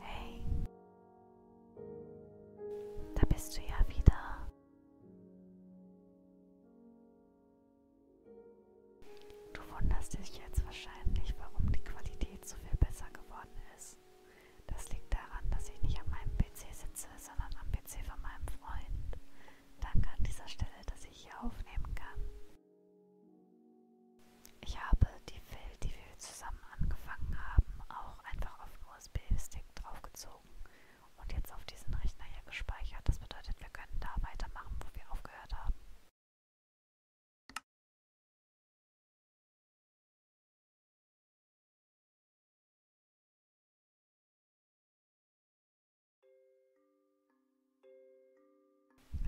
Hey, da bist du ja wieder. Du wunderst dich jetzt wahrscheinlich, warum die Qualität so viel besser geworden ist aus. Das liegt daran, dass ich nicht an meinem PC sitze, sondern am PC von meinem Freund. Danke an dieser Stelle, dass ich hier aufnehmen kann. Ich habe die Film, die wir zusammen angefangen haben, auch einfach auf den USB-Stick draufgezogen und jetzt auf diesen Rechner hier gespeichert. Das bedeutet, wir können da weitermachen, wo wir aufgehört haben.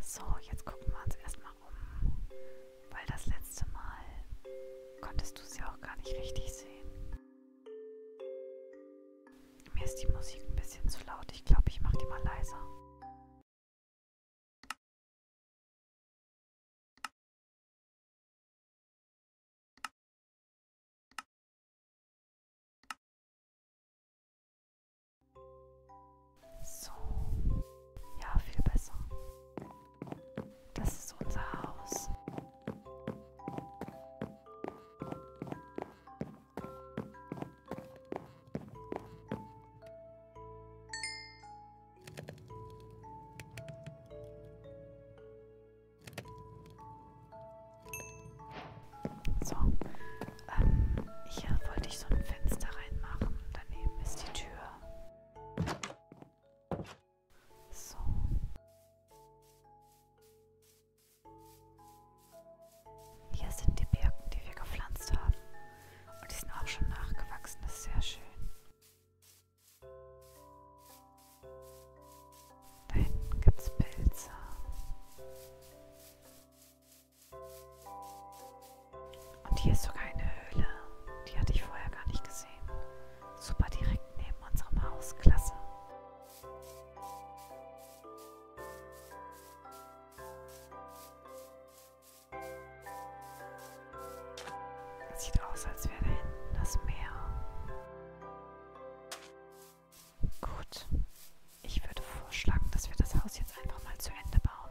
So, jetzt gucken wir uns erstmal um, weil das letzte Mal konntest du es ja auch gar nicht richtig sehen. Mir ist die Musik ein bisschen zu laut. Ich glaube, ich mache die mal leiser. So. Ja, viel besser. Das ist unser Haus. So, ähm, hier äh, wollte ich so ein Fenster reinmachen. Daneben ist die Tür. So. Hier sind die Birken, die wir gepflanzt haben. Und die sind auch schon nachgewachsen. Das ist sehr schön. Da hinten gibt es Pilze. Und hier ist sogar eine Höhle. Die hatte ich vorher gar nicht gesehen. Super direkt neben unserem Haus. Klasse. Sieht aus, als wäre da hinten das Meer. Gut. Ich würde vorschlagen, dass wir das Haus jetzt einfach mal zu Ende bauen.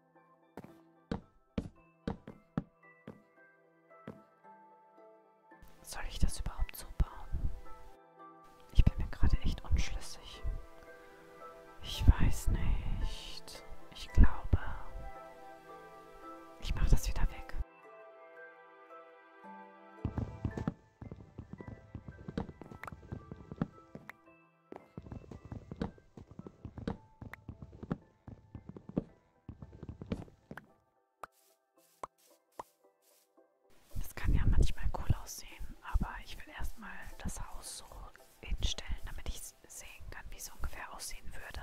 Soll ich das überhaupt so bauen? Ich bin mir gerade echt unschlüssig. Ich weiß nicht. Ich glaube, ich mache das wieder weg. Das kann ja manchmal cool aussehen, aber ich will erstmal das Haus so hinstellen, damit ich sehen kann, wie es ungefähr aussehen würde.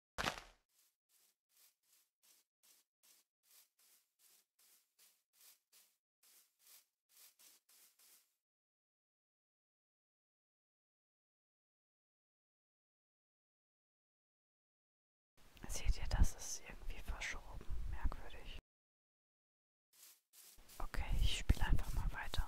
Seht ihr, das ist irgendwie verschoben. Merkwürdig. Okay, ich spiele einfach mal weiter.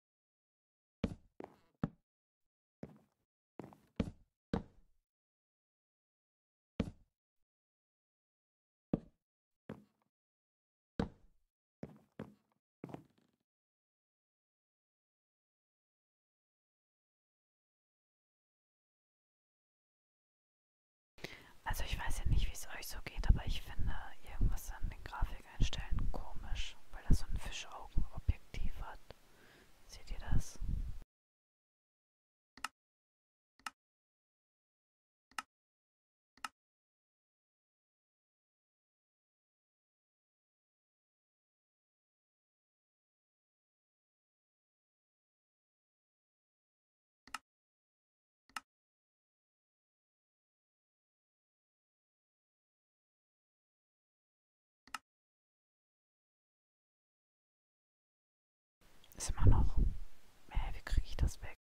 Also ich weiß ja nicht, wie es euch so geht, aber ich finde irgendwas an den Grafikeinstellen komisch, weil das so ein Fischaugenobjektiv hat. Seht ihr das? Ist immer noch. Hey, wie kriege ich das weg?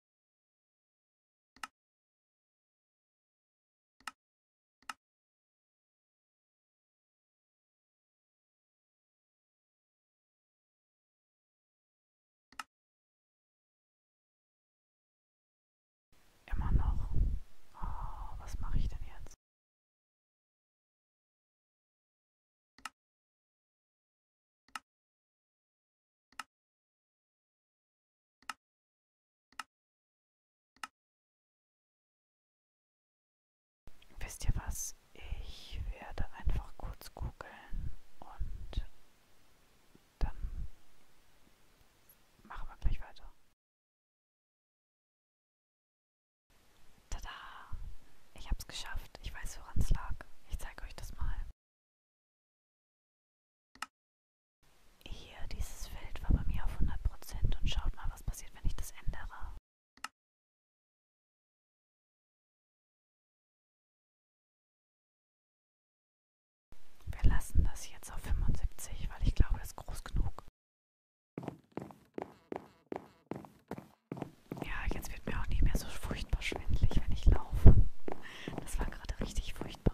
Immer noch. Oh, was mache ich denn jetzt? Wisst ihr was? Ich werde einfach kurz googeln und dann machen wir gleich weiter. Tada! Ich hab's geschafft. Ich weiß, woran es lag. Ich zeige euch das mal. Hier, dieses Feld war bei mir auf 100% und schaut mal, was passiert, wenn ich das ändere. Wir lassen das jetzt auf 75, weil ich glaube, es ist groß genug. Ja, jetzt wird mir auch nicht mehr so furchtbar schwindlig, wenn ich laufe. Das war gerade richtig furchtbar.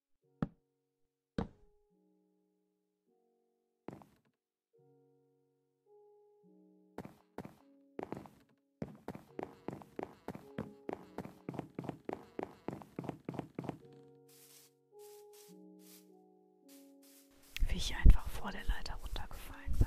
Wie ich einfach vor der Leiter runtergefallen bin.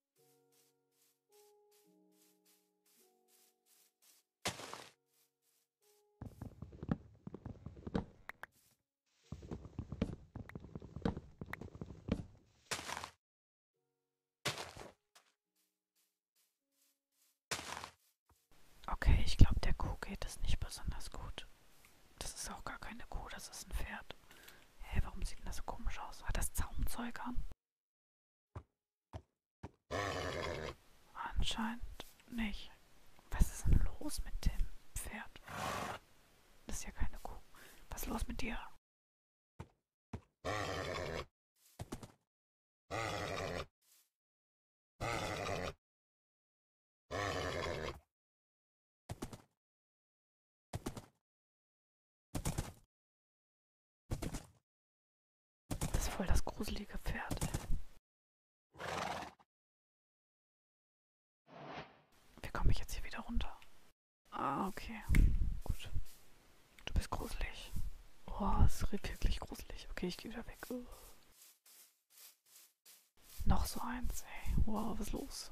Okay, ich glaube, der Kuh geht es nicht besonders gut. Das ist auch gar keine Kuh, das ist ein Pferd. Hä, warum sieht denn das so komisch aus? Hat das Zaumzeug an? Anscheinend nicht. Was ist denn los mit dem Pferd? Das ist ja keine Kuh. Was ist los mit dir? Das ist voll das gruselige Pferd. Wie komme ich jetzt hier wieder runter? Ah, okay. Gut. Du bist gruselig. Oh, es ist wirklich gruselig. Okay, ich gehe wieder weg. Oh. Noch so eins, ey. Wow, was ist los?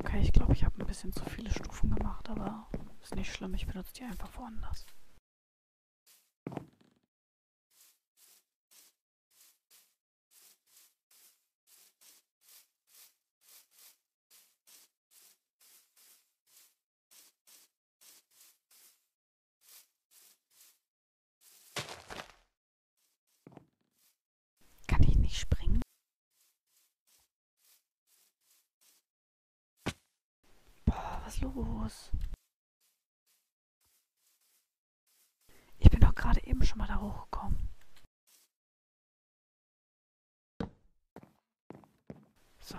Okay, ich glaube, ich habe ein bisschen zu viele Stufen gemacht, aber ist nicht schlimm, ich benutze die einfach woanders. Kann ich nicht springen? Boah, was los? Ich bin doch gerade eben schon mal da hochgekommen. So.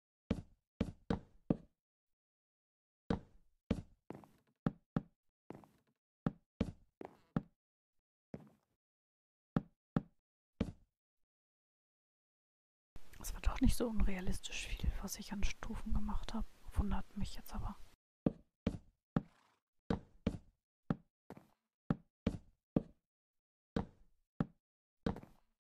Es war doch nicht so unrealistisch viel, was ich an Stufen gemacht habe. Wundert mich jetzt aber.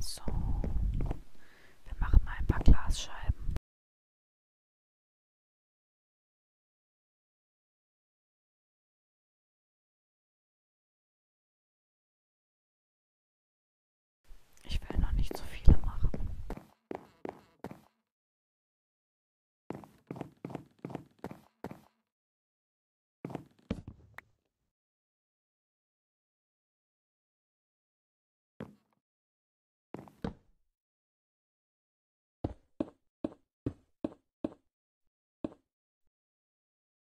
So, wir machen mal ein paar Glasscheiben. Ich will noch nicht zu so viele machen.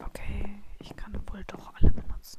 Okay, ich kann wohl doch alle benutzen.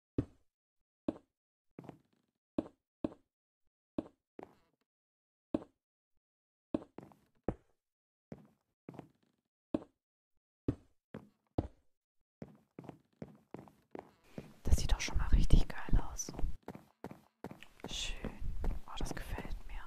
Das sieht doch schon mal richtig geil aus. Schön. Oh, das gefällt mir.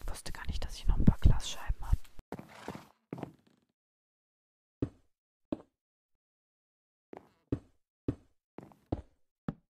Ich wusste gar nicht, dass ich noch ein paar Glasscheiben habe.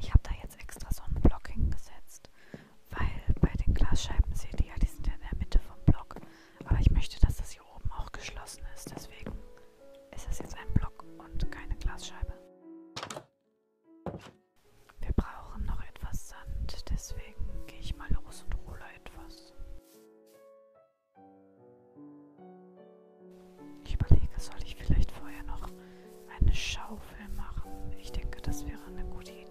Ich habe da jetzt extra so ein Block hingesetzt, weil bei den Glasscheiben seht ihr ja, die sind ja in der Mitte vom Block. Aber ich möchte, dass das hier oben auch geschlossen ist. Deswegen ist das jetzt ein Block und keine Glasscheibe. Wir brauchen noch etwas Sand, deswegen gehe ich mal los und hole etwas. Ich überlege, soll ich vielleicht vorher noch eine Schaufel machen? Ich denke, das wäre eine gute Idee.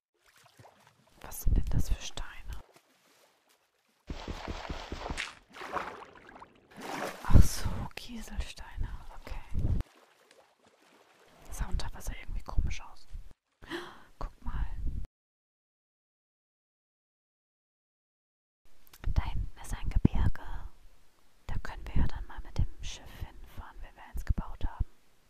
Was sind denn das für Steine? Ach so, Kieselsteine. Okay. Das sah unter Wasser irgendwie komisch aus. Guck mal. Da hinten ist ein Gebirge. Da können wir ja dann mal mit dem Schiff hinfahren, wenn wir eins gebaut haben.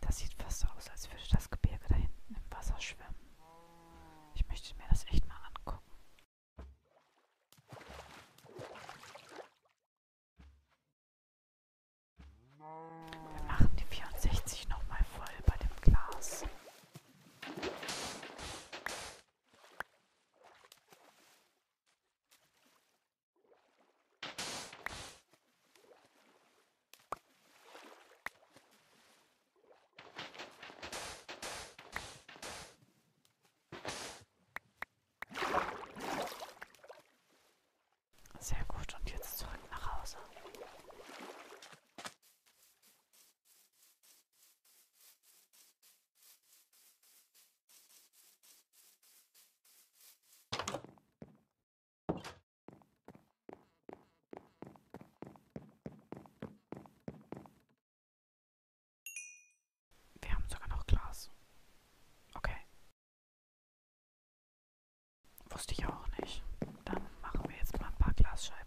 Das sieht fast so aus, als würde das Gebirge da hinten im Wasser schwimmen. Ich möchte mir das echt mal angucken. Wir machen die 64 nochmal voll bei dem Glas. Sehr gut, und jetzt zurück nach Hause. Wir haben sogar noch Glas. Okay. Wusste ich auch nicht. Dann machen wir jetzt mal ein paar Glasscheiben.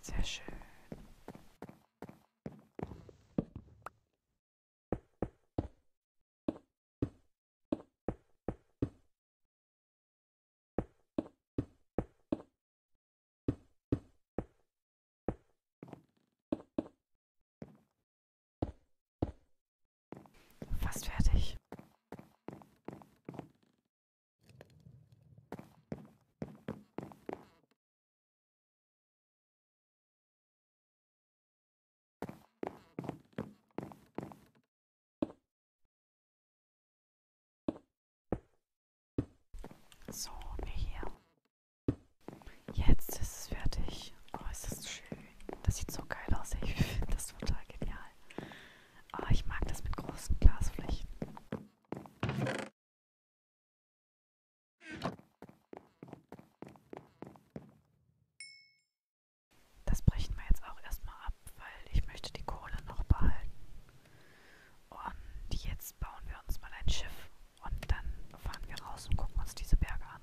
Sehr schön. Fast fertig. So, hier. Jetzt ist es fertig. Oh, ist das schön. Das sieht so geil aus. Ich finde das total genial. Oh, ich mag das mit großen Glasflächen. Das brechen wir jetzt auch erstmal ab, weil ich möchte die Kohle noch behalten. Und jetzt bauen wir uns mal ein Schiff und dann fahren wir raus und gucken uns diese Berge an.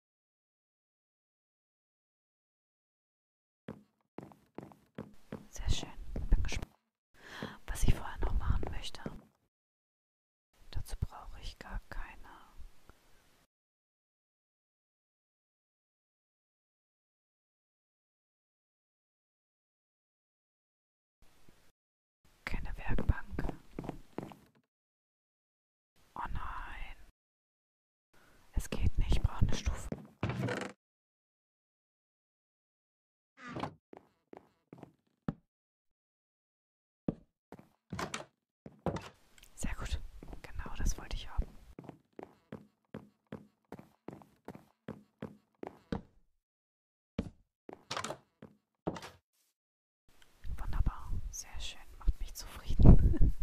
Sehr schön. Bin gespannt, was ich vorher noch machen möchte. Dazu brauche ich gar keine. Keine Werkbank. Oh nein. Es geht nicht, ich brauche eine Stufe. Sehr gut. Genau das wollte ich haben. Wunderbar. Sehr schön. Macht mich zufrieden.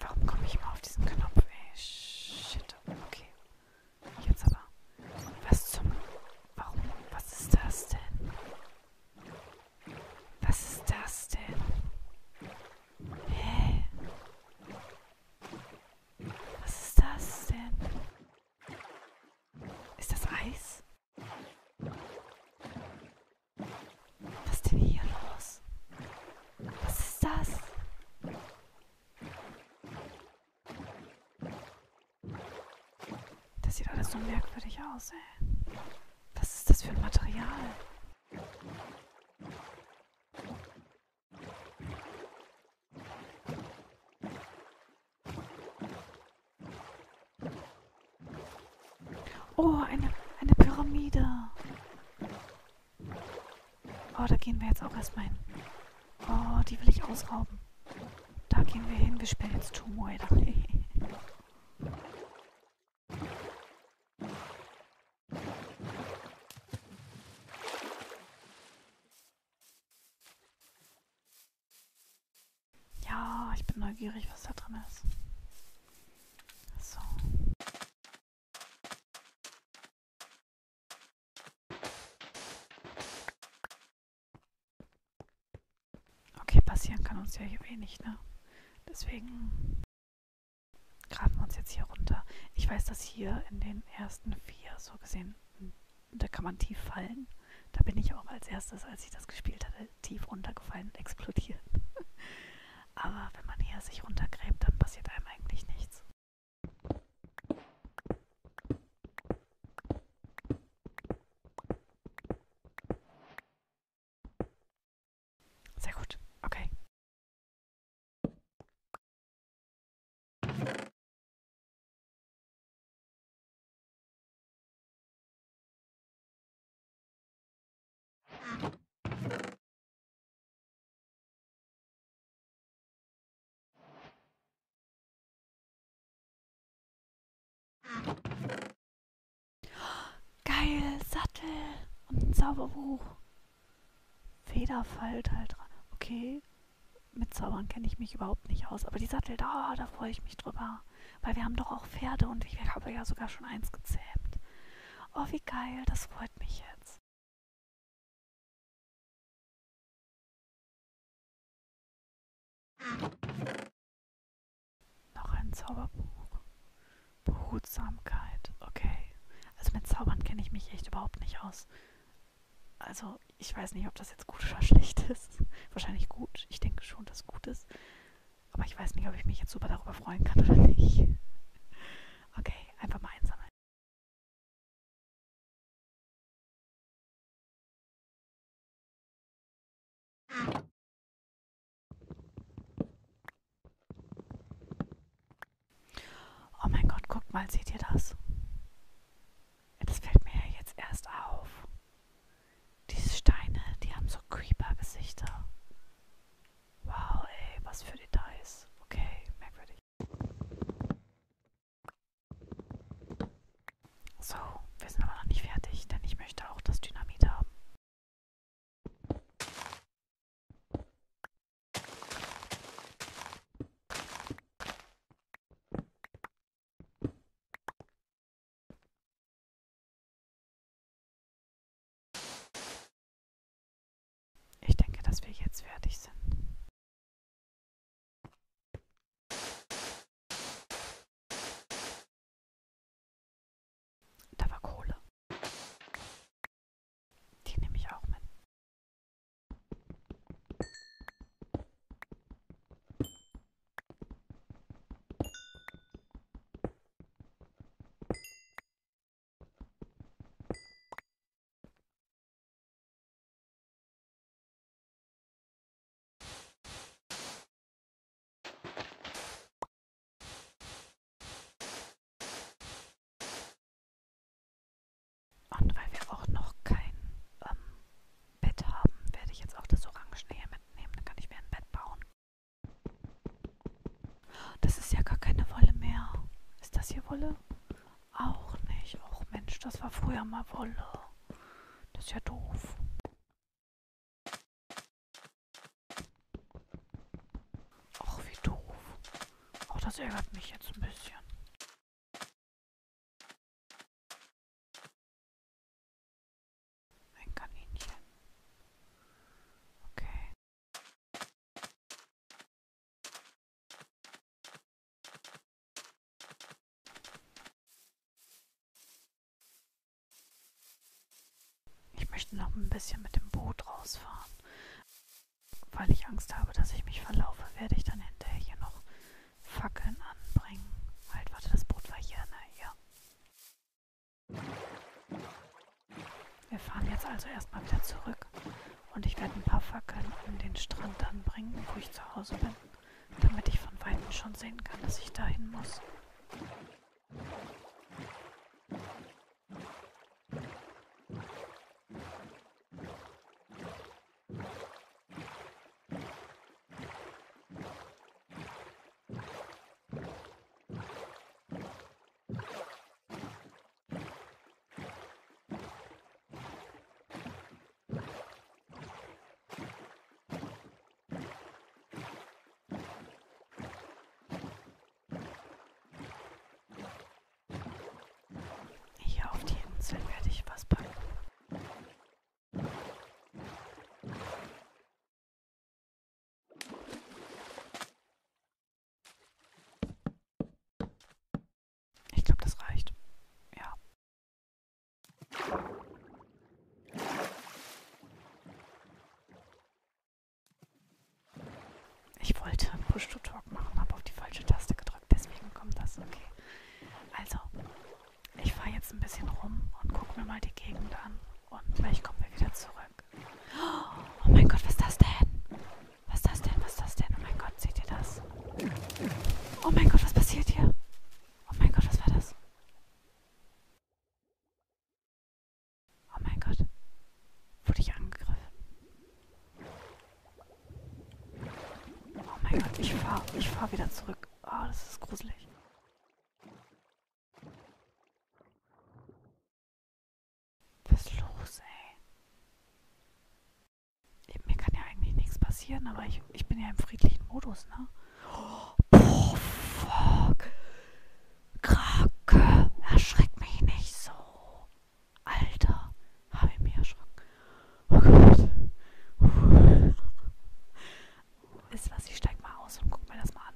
Warum komme ich immer auf diesen Knopf, ey? Shit. Okay. Jetzt aber. Was zum. Warum? Was ist das denn? Was ist das denn? Hä? Was ist das denn? Ist das Eis? Was ist denn hier los? Was ist das? Das sieht alles so merkwürdig aus, ey. Was ist das für ein Material? Oh, eine, eine Pyramide. Oh, da gehen wir jetzt auch erstmal hin. Oh, die will ich ausrauben. Da gehen wir hin. Wir spielen jetzt Tumoida. ja, ich bin neugierig, was da drin ist. So. Okay, passieren kann uns ja hier wenig, ne? Deswegen graben wir uns jetzt hier runter. Ich weiß, dass hier in den ersten vier, so gesehen, hm, da kann man tief fallen. Da bin ich auch als erstes, als ich das gespielt hatte, mal tief runtergefallen und explodiert. Aber wenn man hier sich runtergräbt, dann passiert einem eigentlich nichts. Sehr gut, okay. Geil, Sattel und ein Zauberbuch. Federfall Teil 3. Okay, mit Zaubern kenne ich mich überhaupt nicht aus. Aber die Sattel, da, da freue ich mich drüber. Weil wir haben doch auch Pferde und ich habe ja sogar schon eins gezähmt. Oh, wie geil, das freut mich jetzt. Noch ein Zauberbuch. Behutsamkeit, okay. Also mit Zaubern kenne ich mich echt überhaupt nicht aus. Also ich weiß nicht, ob das jetzt gut oder schlecht ist. Wahrscheinlich gut. Ich denke schon, dass gut ist. Aber ich weiß nicht, ob ich mich jetzt super darüber freuen kann oder nicht. Okay, einfach mal einsammeln. Oh mein Gott, guckt mal, seht ihr das? Das fällt mir ja jetzt erst auf. Diese Steine, die haben so Creeper-Gesichter. Wow, ey, was für Details. Okay, merkwürdig. So, wir sind aber noch nicht fertig, denn ich möchte auch das Dynamit haben. Ich denke, dass wir jetzt fertig sind. Da war Kohle. Die nehme ich auch mit. Und weil wir auch noch kein ähm, Bett haben, werde ich jetzt auch das Orangene hier mitnehmen. Dann kann ich mir ein Bett bauen. Das ist ja gar keine Wolle mehr. Ist das hier Wolle? Auch nicht. Och Mensch, das war früher mal Wolle. Das ist ja doof. Och, wie doof. Auch das ärgert mich jetzt ein bisschen. Ein Kaninchen. Okay. Ich möchte noch ein bisschen mit dem Boot rausfahren. Weil ich Angst habe, dass ich mich verlaufe, werde ich dann hinterher hier noch Fackeln anbringen. Halt, warte, das Boot war hier, ne? Ja. Wir fahren jetzt also erstmal wieder zurück und ich werde ein paar Fackeln an den Strand dann bringen, wo ich zu Hause bin, damit ich von Weitem schon sehen kann, dass ich dahin muss. Hier auf die Insel werde ich was packen. Ich glaube, das reicht. Ja. Ich wollte Push-to-Talk machen, habe auf die falsche Taste gedrückt. Deswegen kommt das. Okay. Also, ich fahre jetzt ein bisschen rum und gucke mir mal die Gegend an. Und vielleicht kommen wir wieder zurück. Tag. Oh mein Gott, was ist das denn? Was ist das denn? Was ist das denn? Oh mein Gott, seht ihr das? Oh mein Gott, was passiert hier? Oh mein Gott, was war das? Oh mein Gott. Wurde ich angegriffen? Oh mein Gott, ich fahre ich fahr wieder zurück. Oh, das ist gruselig. Was ist los, ey? Mir kann ja eigentlich nichts passieren, aber ich, ich bin ja im friedlichen Modus, ne? Oh, oh fuck. Krake, erschreck mich nicht so. Alter, habe ich mich erschrocken. Oh Gott. Uh. Ist was, ich steig mal aus und guck mir das mal an.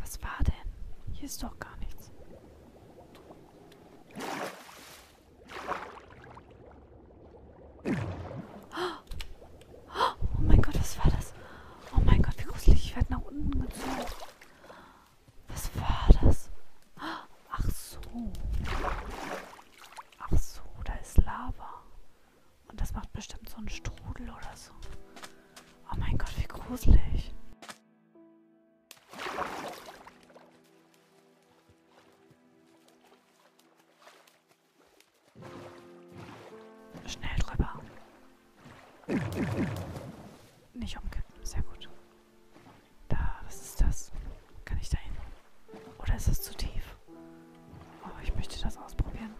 Was war denn? Hier ist doch gar nichts. Oh mein Gott, was war das? Oh mein Gott, wie gruselig. Ich werde nach unten gezogen. Was war das? Ach so. Ach so, da ist Lava. Und das macht bestimmt so einen Strudel oder so. Oh mein Gott, wie gruselig. Schnell drüber. Nicht umkippen, sehr gut. Da, was ist das? Kann ich da hin? Oder ist das zu tief? Oh, ich möchte das ausprobieren.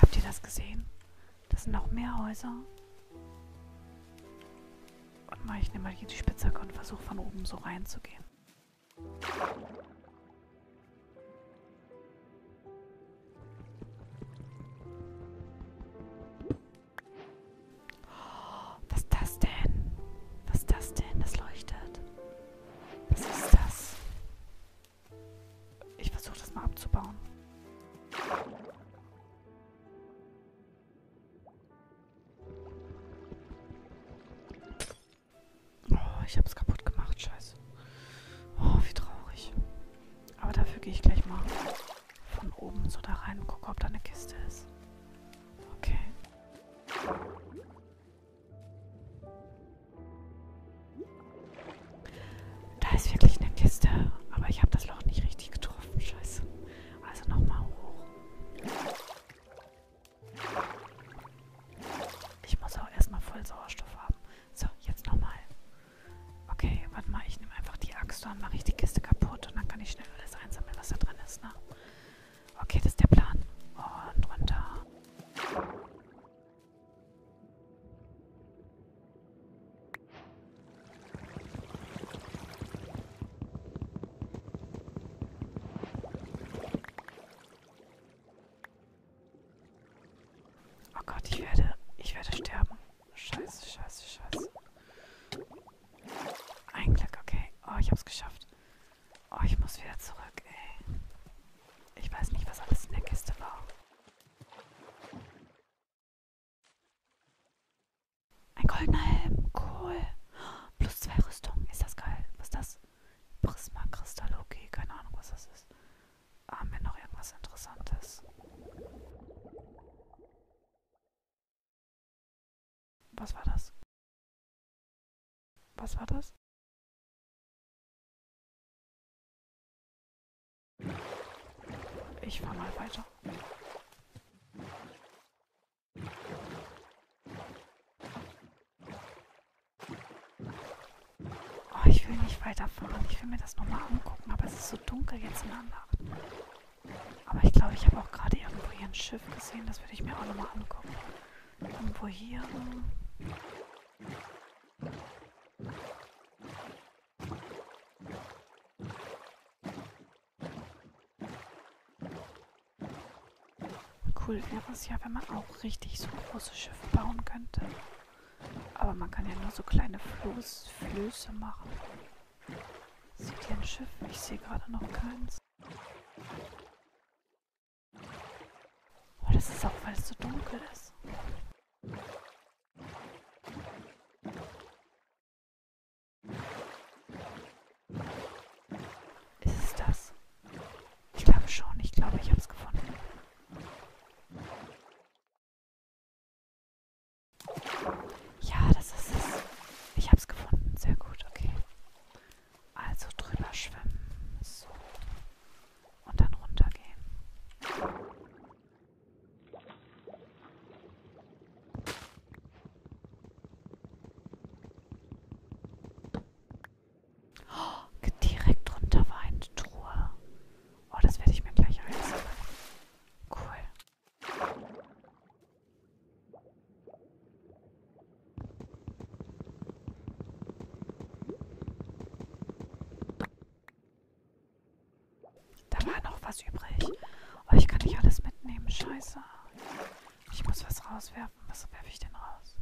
Habt ihr das gesehen? Das sind noch mehr Häuser. Und mal, ich nehme mal hier die Spitzhacke und versuche von oben so reinzugehen. Was ist das denn? Was ist das denn? Das leuchtet. Was ist das? Ich versuche das mal abzubauen. Oh, ich hab's kaputt gemacht, scheiße. Oh, wie traurig. Aber dafür gehe ich gleich mal von oben so da rein und gucke, ob da eine Kiste ist. Okay. Da ist wirklich eine Kiste, aber ich habe das Loch nicht richtig getroffen, scheiße. Also nochmal hoch. Ich muss auch erstmal voll Sauerstoff haben. So, jetzt nochmal. Okay, warte mal, ich nehme einfach die Axt und mache ich die Kiste kaputt und dann kann ich schnell alles einsammeln, was da drin ist, ne? Okay, das ist der Plan. Und runter. Oh Gott, ich werde, ich werde sterben. Scheiße, scheiße, scheiße. Ein Glück, okay. Oh, ich hab's geschafft. Oh, ich muss wieder zurück, ey. Ich weiß nicht, was alles in der Kiste war. Ein goldener Helm, cool. Plus zwei Rüstungen, ist das geil. Was ist das? Prisma Kristall, okay, keine Ahnung, was das ist. Haben ah, wir noch irgendwas Interessantes? Was war das? Was war das? Ich fahr mal weiter. Oh, ich will nicht weiterfahren. Ich will mir das nochmal angucken, aber es ist so dunkel jetzt in der Nacht. Aber ich glaube, ich habe auch gerade irgendwo hier ein Schiff gesehen. Das würde ich mir auch nochmal angucken. Irgendwo hier. Cool wäre es ja, wenn man auch richtig so große Schiffe bauen könnte. Aber man kann ja nur so kleine Floß, Flöße machen. Sieht hier ein Schiff? Ich sehe gerade noch keins. Aber oh, das ist auch, weil es so dunkel ist. Ist es das? Ich glaube schon, ich glaube, ich habe es gefunden. Ja, das ist es. Ich habe es gefunden. Sehr gut, okay. Also drüber schwimmen. So. Und dann runtergehen. Oh, direkt runter war eine Truhe. Oh, das werde ich mir gleich einsammeln. Cool. Da war noch was übrig. Oh, ich kann nicht alles mitnehmen. Scheiße. Ich muss was rauswerfen. Was werfe ich denn raus?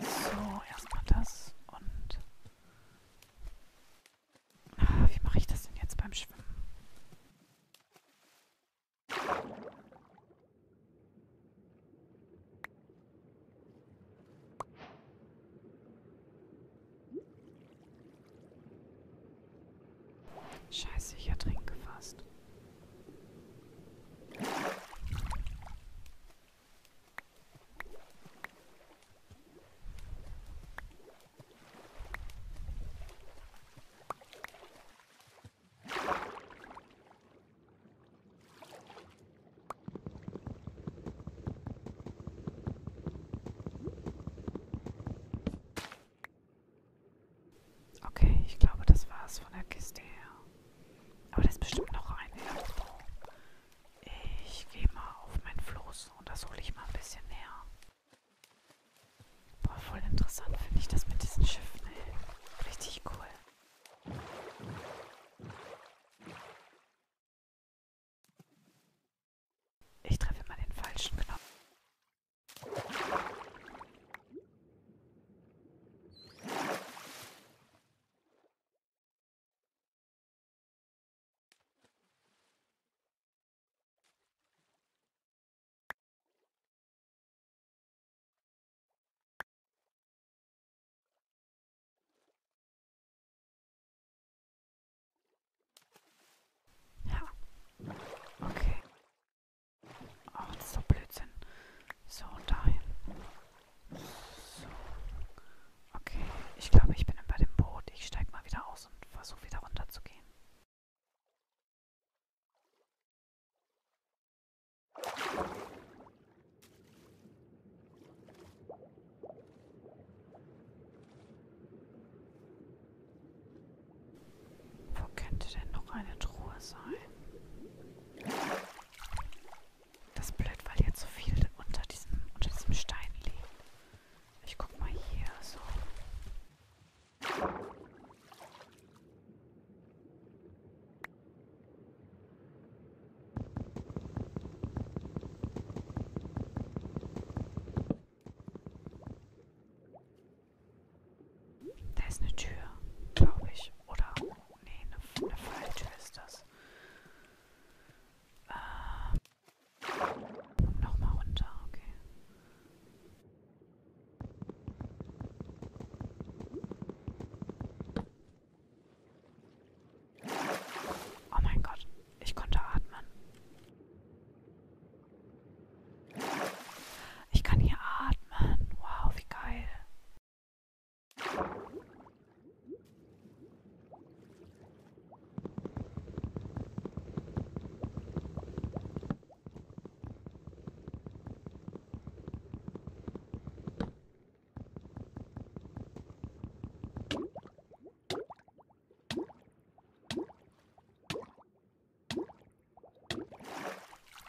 So, erstmal das und wie mache ich das denn jetzt beim Schwimmen? Scheiße, ich ertrinke fast. Okay, ich glaube, das war's von der Kiste her. Aber das ist bestimmt noch ein irgendwo. Ich gehe mal auf mein Floß und das hole ich mal ein bisschen näher. Boah, voll interessant finde ich das mit diesen Schiffen, ey. Richtig cool. Ich treffe immer den falschen Knopf. Ja. Okay. Ach, oh, das ist doch Blödsinn. So, dahin. So. Okay, ich glaube, ich bin bei dem Boot. Ich steige mal wieder aus und versuche wieder runterzukommen. Okay. Wo könnte denn noch eine Truhe sein? Das ist blöd, weil jetzt so viel unter diesem, unter diesem Stein liegt. Ich guck mal hier so. Da ist eine Tür, glaube ich. Oder, nee, eine, eine Falltür ist das. Ähm, Nochmal runter, okay. Oh mein Gott, ich konnte atmen. Ich kann hier atmen. Wow, wie geil.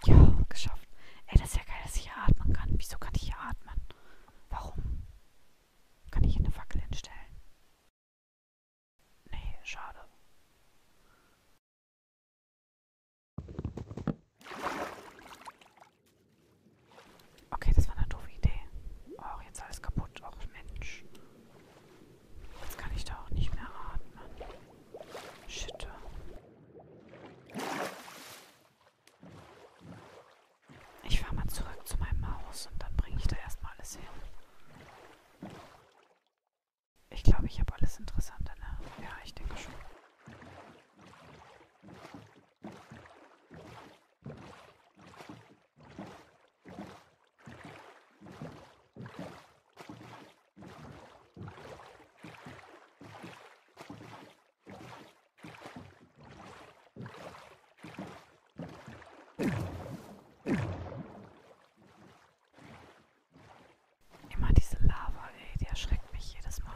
Ja, geschafft. Ey, das ist ja geil, dass ich hier atmen kann. Wieso kann ich hier atmen? Warum? Kann ich hier eine Fackel hinstellen? Nee, schade. Okay, das war eine doofe Idee. Oh, jetzt alles kaputt. Och, Mensch. Jetzt kann ich da auch nicht mehr atmen. Shit. Ich fahre mal zurück zu meinem Haus und dann bringe ich da erstmal alles hin. Ich glaube, ich habe alles Interessante, ne? Ja, ich denke schon. Immer diese Lava, ey, die erschreckt mich jedes Mal.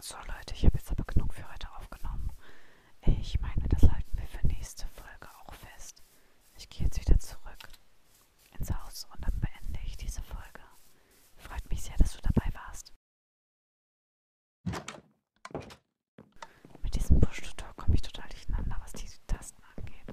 So Leute, ich habe jetzt aber genug für heute aufgenommen. Ich meine, das halten wir für nächste Folge auch fest. Ich gehe jetzt wieder zurück ins Haus und dann beende ich diese Folge. Freut mich sehr, dass du dabei warst. Mit diesem Push-Tutor komme ich total durcheinander, was diese Tasten angeht.